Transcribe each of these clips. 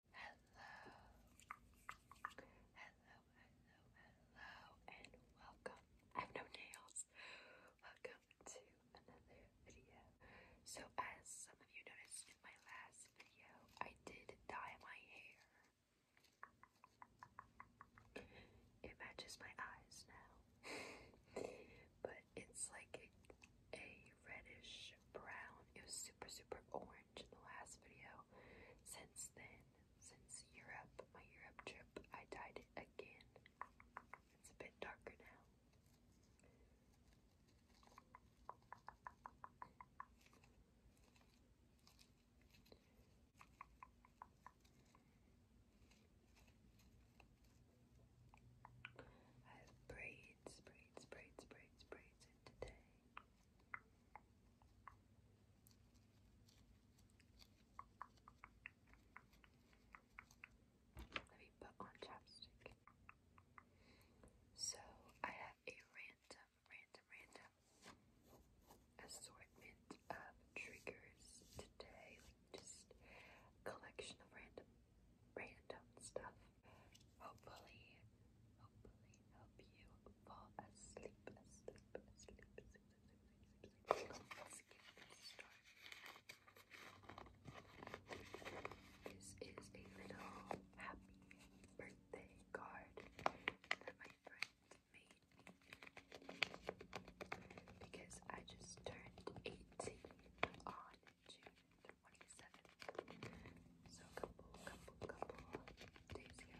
Hello, hello, hello, and welcome. I have no nails. Welcome to another video. So, as some of you noticed in my last video, I did dye my hair. It matches my eyes now, but it's like a reddish brown. It was super, super orange in the last video. Since then, since Europe, my Europe trip, I dyed it again. It's a bit darker now. I have braids, braids, braids, braids, braids in today. Let put on chapstick. So I have a random, random, random assortment of triggers today, like just collection of random, random stuff hopefully, hopefully help you fall asleep, this is a little happy birthday card that my friend made because I just turned 18 on June 27. So a couple, couple, couple days ago.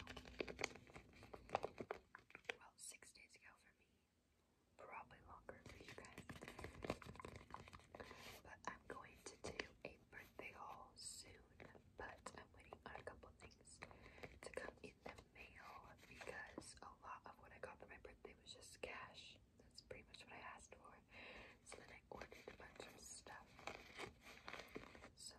Well, six days ago for me. Probably longer for you guys. But I'm going to do a birthday haul soon. But I'm waiting on a couple things to come in the mail because a lot of what I got for my birthday was just cash. That's pretty much what I asked for. So then I I ordered a bunch of stuff. So,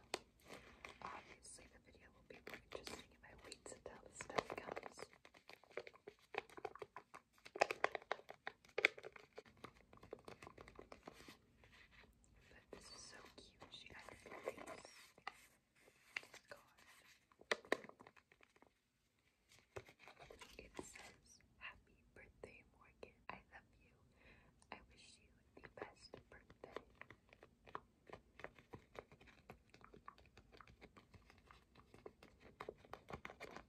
obviously, the video will be more interesting if until the stuff comes. But this is so cute. She has this It says, Happy birthday, Morgan. I love you. I wish you the Comment, comment, down below what you guys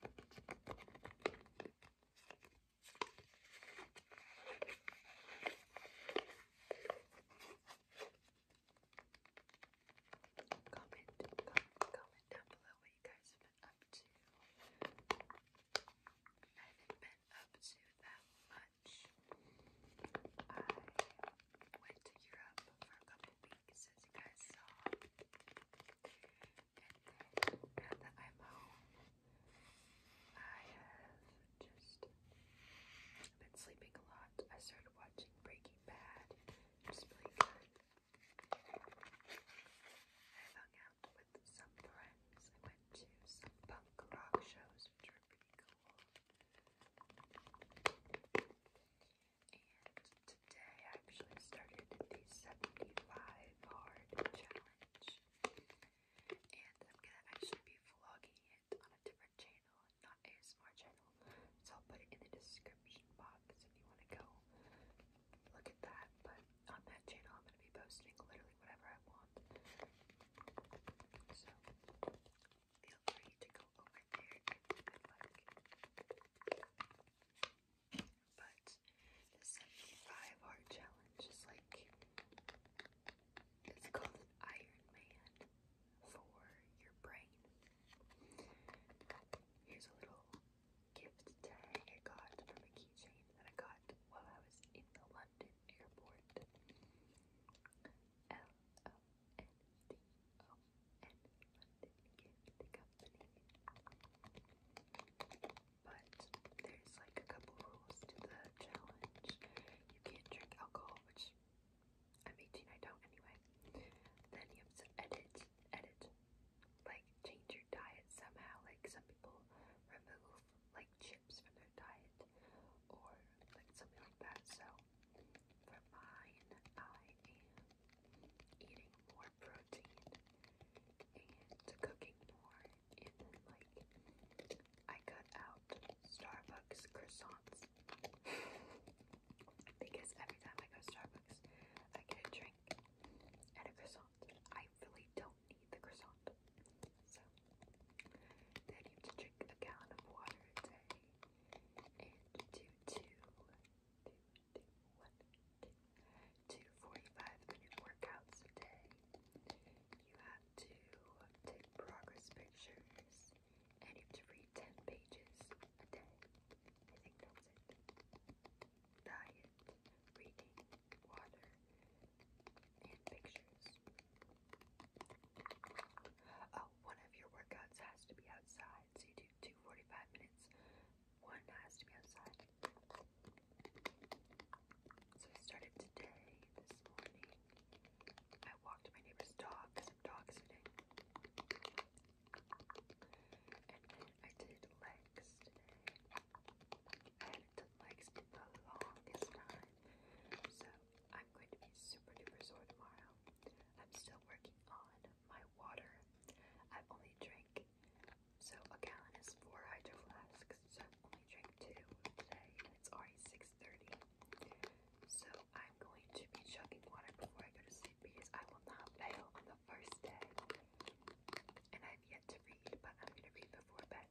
have been up to up to that much. I went to Europe for a couple weeks, as you guys saw. And now that I'm home, I have just been sleeping a lot. I started watching Breaking Bad, which really good. i hung out with some friends. I went to some punk rock shows, which were pretty cool. And today I actually started the 75 Hard Challenge. And I'm gonna actually be vlogging it on a different channel, not ASMR channel. So I'll put it in the description box if you wanna go look at that. But on that channel, I'm going to be posting literally whatever I want. So feel free to go over there But the 75 art challenge is like it's called Iron Man for your brain. Here's a little gift tag I got from a keychain that I got while I was in the London airport. L-O-N-D-O-N, London Company. But there's like a couple rules to the challenge. You can't drink alcohol, which I'm 18, I don't anyway. Then you have to edit, edit, like change your diet somehow. Like some people remove like chips for their diet or like something like that. So for mine, I am eating more protein and cooking more. And then like I cut out Starbucks croissants. because every time I go to Starbucks, I get a drink and a croissant. I really don't need the croissant. So, then you have to drink a gallon of water a day. And do two, two, two, one, two, two minute workouts a day. You have to take progress pictures. And you have to read 10 pages a day. I think that's it. Diet reading, water, and pictures. Oh, one of your workouts has to be outside, so you do two minutes. One has to be outside. So I started today, this morning. I walked my neighbor's dog because I'm dog And I did legs today the the longest time. So I'm going to be super duper sore tomorrow. I'm still working on my water. I only drink, so a gallon is four hydroflasks, flasks, so I've only drank two today, and it's already 6.30. So I'm going to be chugging water before I go to sleep because I will not fail on the first day. And I've yet to read, but I'm going to read before bed.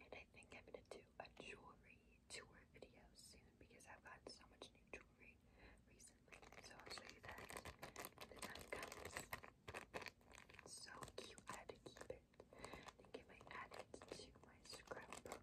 and I think I'm gonna do a jewelry tour video soon because I've gotten so much new jewelry recently. So I'll show you that when the time comes. so cute, I had to keep it. I think I might add it to my scrapbook.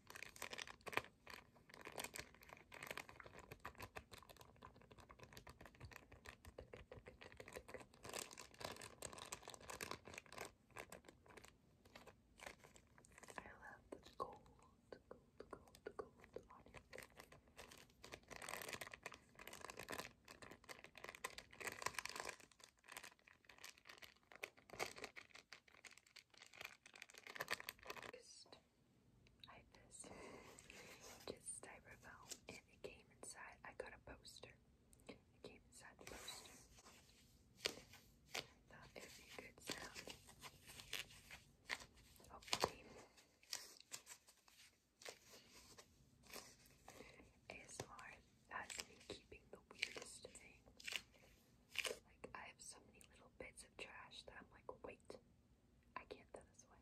I love this gold, gold, gold, gold on it. Just, I had this, just styrofoam, and it came inside. I got a poster. It came inside the poster. thought it would be good sound. Hopefully. ASMR as me keeping the weirdest thing. Like, I have so many little bits of trash that I'm like, wait, I can't throw this away.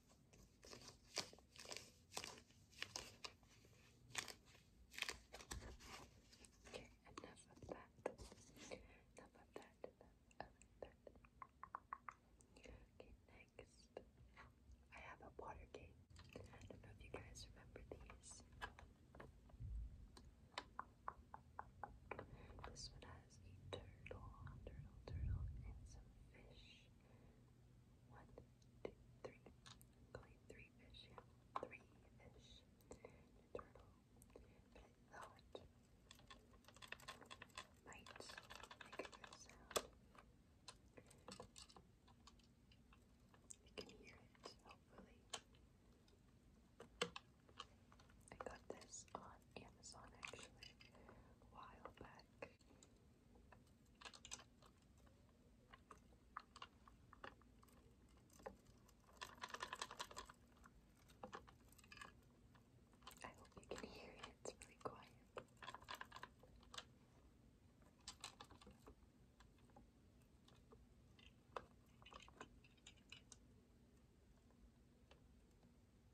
Okay, enough of that. Enough of that. Okay, next. I have a water I don't know if you guys remember these. This one has has turtle, turtle, turtle, and some fish. One, two, three fish, yeah. Three fish. turtle. But I might make a sound. You can hear it, hopefully. I got this on Amazon actually while back. I hope you can hear it, it's really quiet.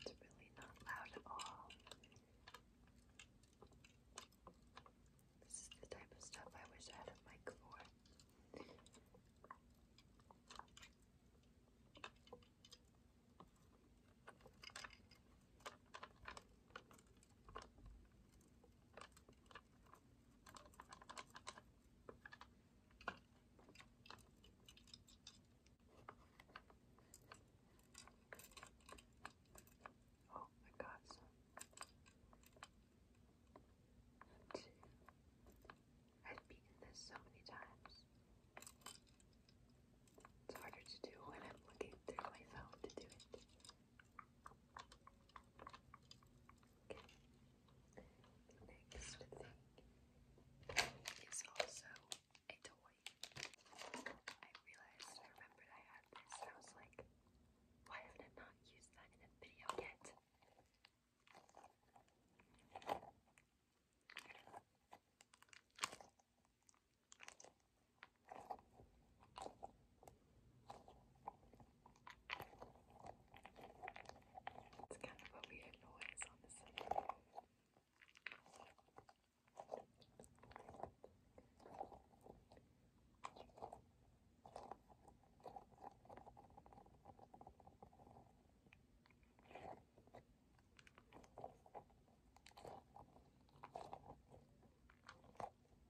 It's really not loud at all. This type of stuff I wish I had a mic for. Oh, I got i I've beaten this so many times. It's harder to do when I'm looking through my to do it. The next is also a toy. I realized, I remembered I had this and I was like, why haven't I not used that in a video yet? It's kind of a weird noise on the side.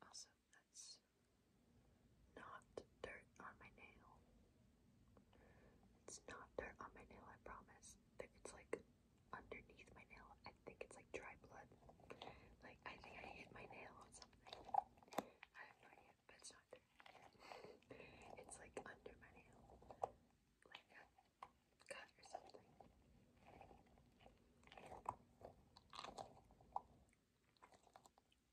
Also, that's not dirt on my nail. It's not dirt on my nail, I promise. It's like underneath my nail. I think it's like dry blood. Like, I think I hit my nail on something. I have no idea, but it's not dirt. It's like under my nail. Like cut or something.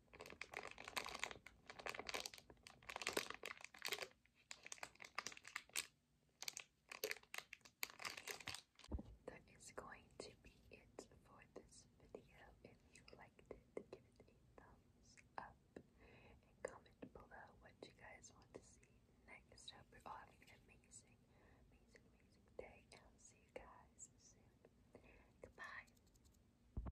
That is going to be it for this video. If you liked it, give it a thumbs up and comment below what you guys want to see next. I an amazing, amazing, amazing day, I'll see you guys soon. Goodbye.